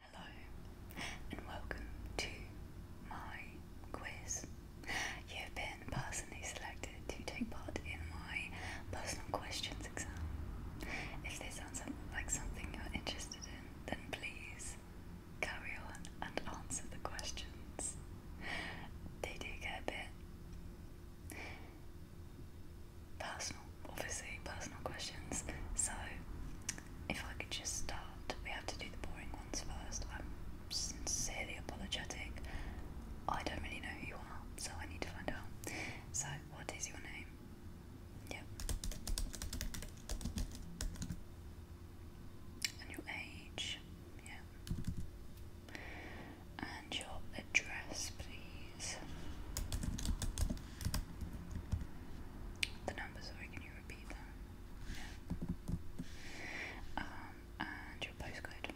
Hello and welcome to my quiz. You've been personally selected to take part in my personal questions exam. If this sounds like something you're interested in, then please carry on and answer the questions. They do get a bit personal obviously personal questions. So, if I could just start, we have to do the boring ones first. I'm sincerely apologetic. I don't really know who you are, so I need to find out. So, what is your name? Yep. And your age? Yeah. And your address, please the numbers. sorry, can you repeat that? Yeah. Um, and your postcode.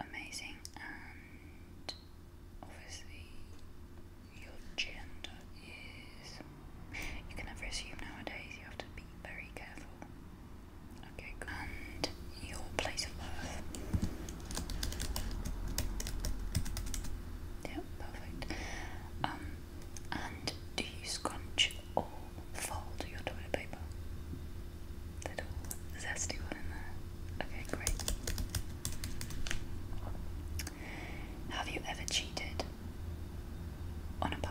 Amazing. And obviously, your gender is. You can never assume nowadays, you have to be very careful. Okay, And your place of birth. Yeah, perfect. Um, and do you scrunch or fold your toilet paper? Little zesty one in there. Okay, great. Have you ever cheated on a partner?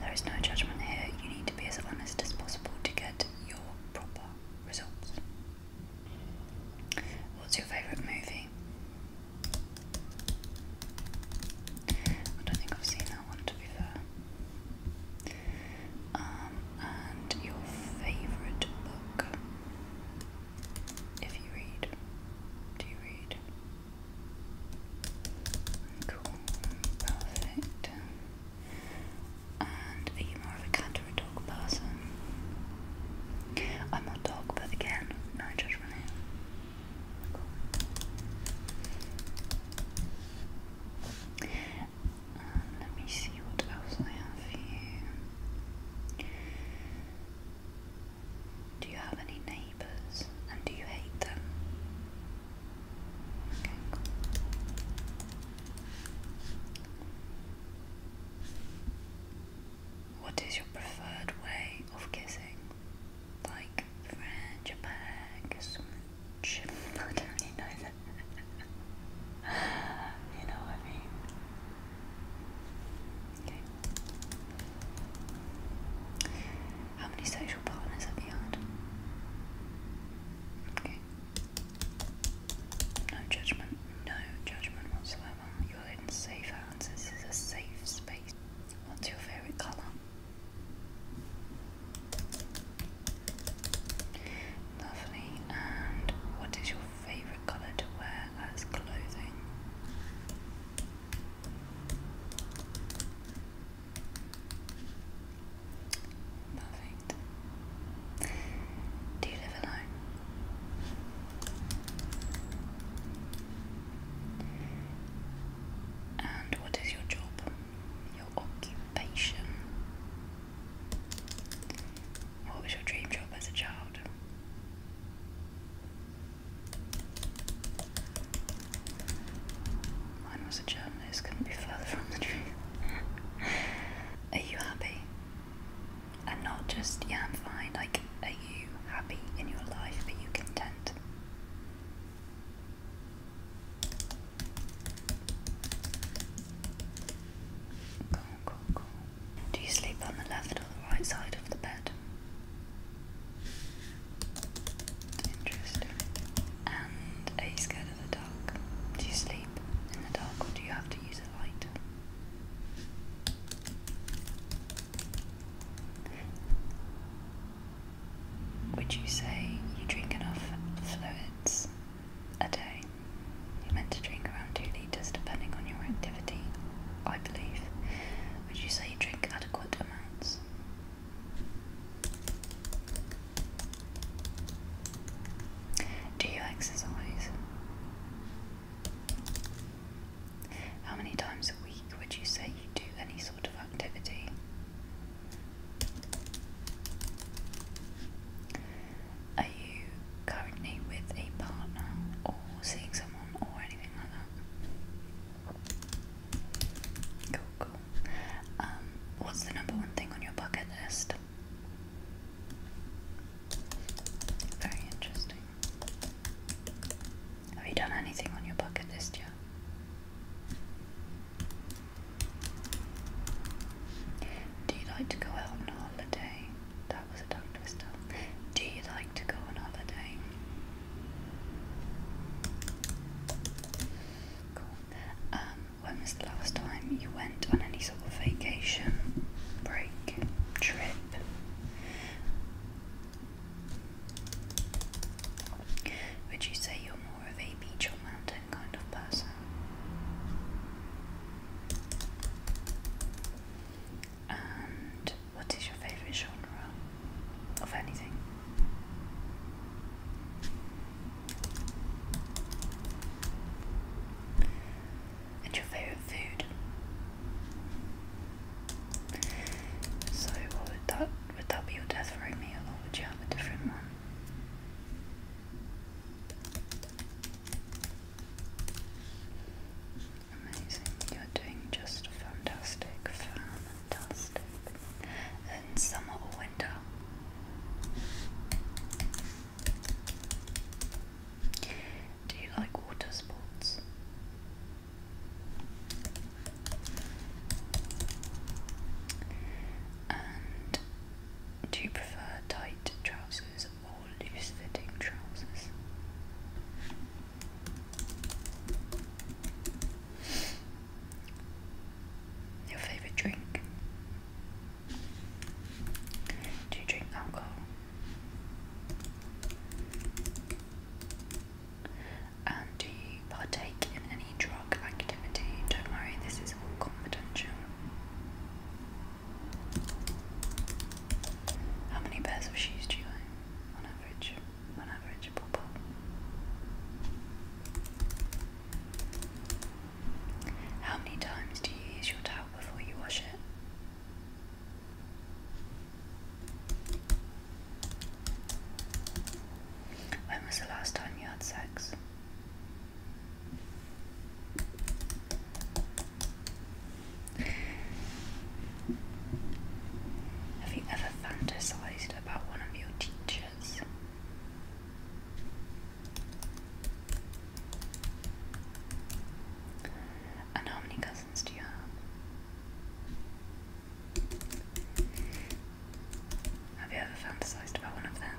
There is no judgment here. You need to be as honest as possible to get your proper results. What's your favourite movie? I don't think I've seen that one to be fair. Um, and your favourite book? If you read. Do you read? Cool. Perfect. And are you more of a cat or a dog person? I'm a dog, but again, no judgment here. let me see what else I have for you. Do you have any neighbours and do you hate them? What is your preferred way of kissing? Like French, bag, Swedish? I don't really know that. you know what I mean? Okay. How many sexual partners have you had? Okay. No judgment. No judgment whatsoever. You're in safe hands. This is a safe space. What's your favourite colour? Lovely. And what is your favourite colour to wear as clothing? Perfect. Do you live alone? And what is your job? Your occupation? What was your dream job as a child? Mine was a journalist, couldn't be further from the truth. are you happy? And not just, yeah, I'm fine. Like, are you happy in your life? Are you content? Cool, cool, cool. Do you sleep on the left or the right side of the bed? Interesting. And are you scared of the dark? Do you sleep in the dark or do you have to use a light? Would you say you drink enough fluids a day? You're meant to drink around 2 litres depending on your activity, I believe. Would you say you drink adequate amounts? Do you exercise? How many times a week would you say you do any sort of activity? Are you currently with a partner or seeing someone or anything like that? Cool, cool. Um, what's the number one thing on your bucket list? Very interesting. Have you done anything on your bucket list yet? Do you like to go out on a holiday? That was a tongue twister. Do you like to go on holiday? Um, when was the last time you went on any sort of vacation, break, trip? Would you say you're more of a beach or mountain kind of person? And what is your favourite genre? of anything. And your favourite food. So would that would that be your death row meal or would you have a different one? Amazing, you're doing just fantastic, fantastic. In summer or Do you like water sports? And do you prefer tight trousers or loose fitting trousers? Your favorite drink? Do you drink alcohol? And do you partake in any drug activity? Don't worry, this is all confidential. How many pairs of shoes do you own on average? How many times do you use your towel before you wash it? When was the last time you had sex? Have you ever fantasized about one of your teachers. And how many cousins do you have? Have you ever fantasized about one of them?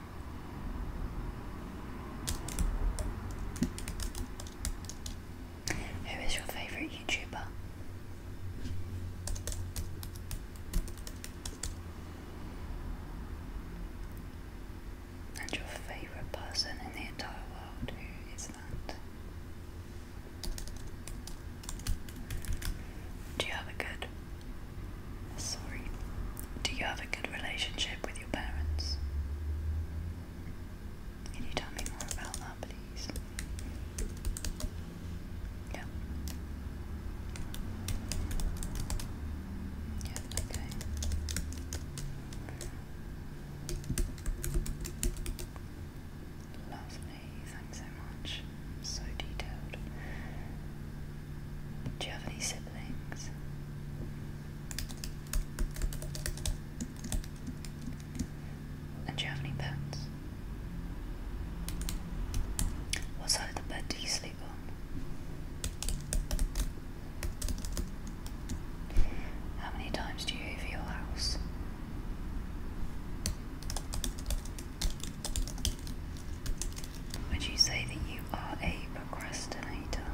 Who is your favourite YouTuber? And your favorite person in the entire world, who is that? Do you have a good sorry. Do you have a good relationship with your parents? Can you tell me more about that these. Yeah. Yeah, okay. Lovely, thanks so much. So detailed. Do you have any siblings? do you have any pets? What side of the bed do you sleep on? How many times do you hoover your house? Would you say that you are a procrastinator?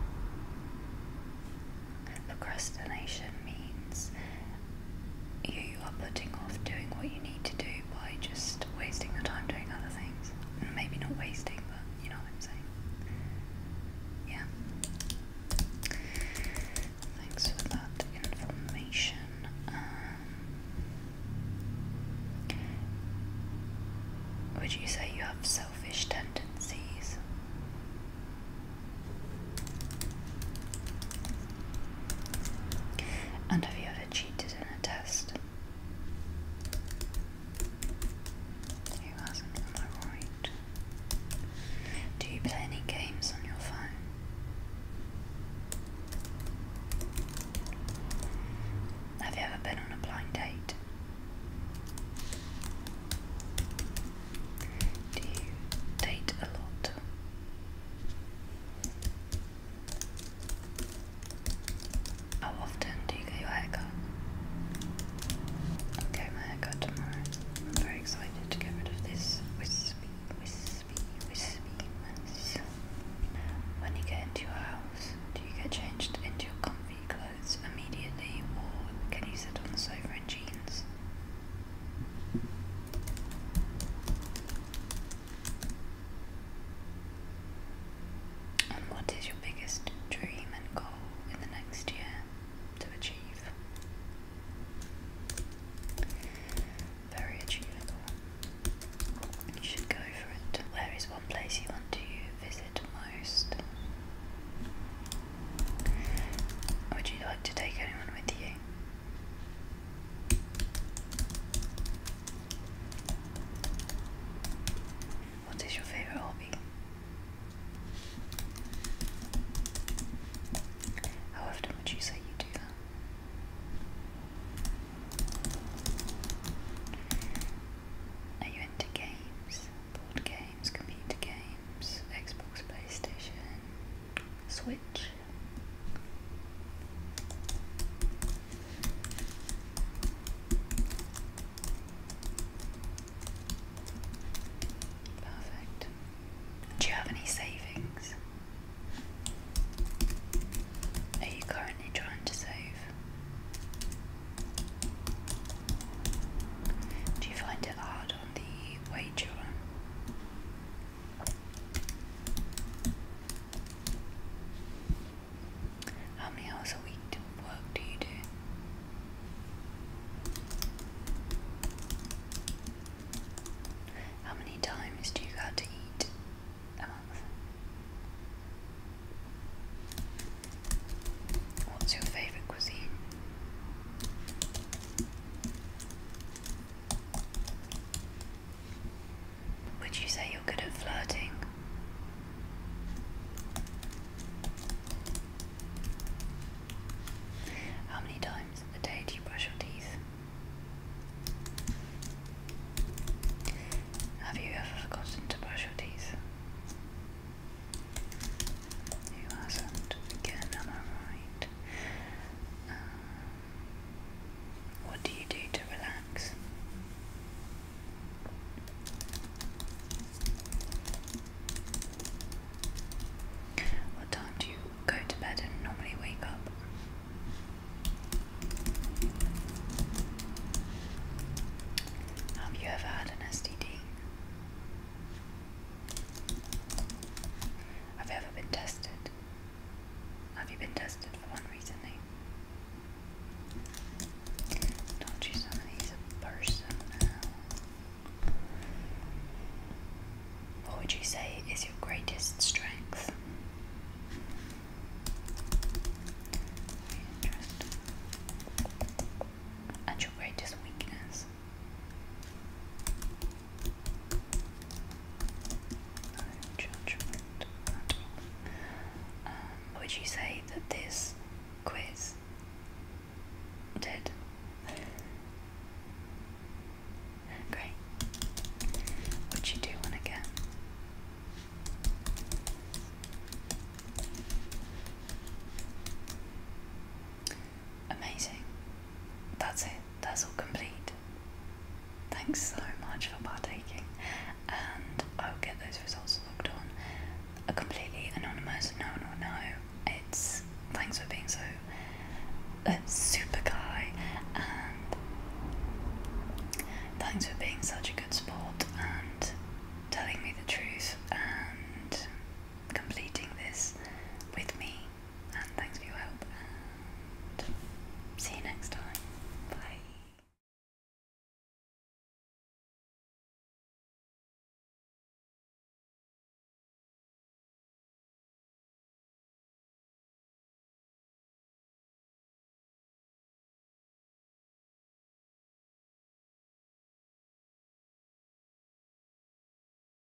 Procrastination means you are putting off doing what you need to do by just wasting your time doing other things. Maybe not wasting, but you know what I'm saying. Yeah. Thanks for that information. Um, would you say you have selfish tendencies? And have you ever cheated in a test? Do you play any games on your phone? Have you ever been on a blind date? Do you date a lot? How often do you haircut? I'm getting my tomorrow. I'm very excited to get rid of this wispy, wispy, wispiness. When you get into your house, do you get changed into your comfy clothes immediately or can you sit on the sofa in jeans? And what is your biggest dream and goal in the next year to achieve? Very achievable. You should go for it. Where is one place you want to visit most? Would you like to take anyone with you? What is your favorite hobby? How often would you say you do that? Are you into games? Board games, computer games, Xbox, PlayStation, Switch? Perfect. Do you have any savings? Are you currently trying to save? Do you find it hard on the wage you how many hours a week do work do you do? How many times do you go to eat a month? What's your favourite cuisine? Would you say you're good at flirting? How many times a day do you brush your teeth? Have you ever forgotten to brush your teeth? You hasn't. Again, am I right? Uh, what do you do to relax? What time do you go to bed and normally wake up? Have you ever had an STD? Have ever been tested? Have you been tested for one recently? Don't you summon he's a person What would you say is your greatest strength? And your greatest weakness? Um, would you say that this quiz did? Great. Would you do one again? Amazing. That's it. That's all complete. Thanks so much for partaking, and I'll get those results logged on. A completely anonymous, no, no, no. It's thanks for being so uh, super guy, and thanks for being such a good sport and telling me the truth and completing this with me and thanks for your help see you next time. Bye.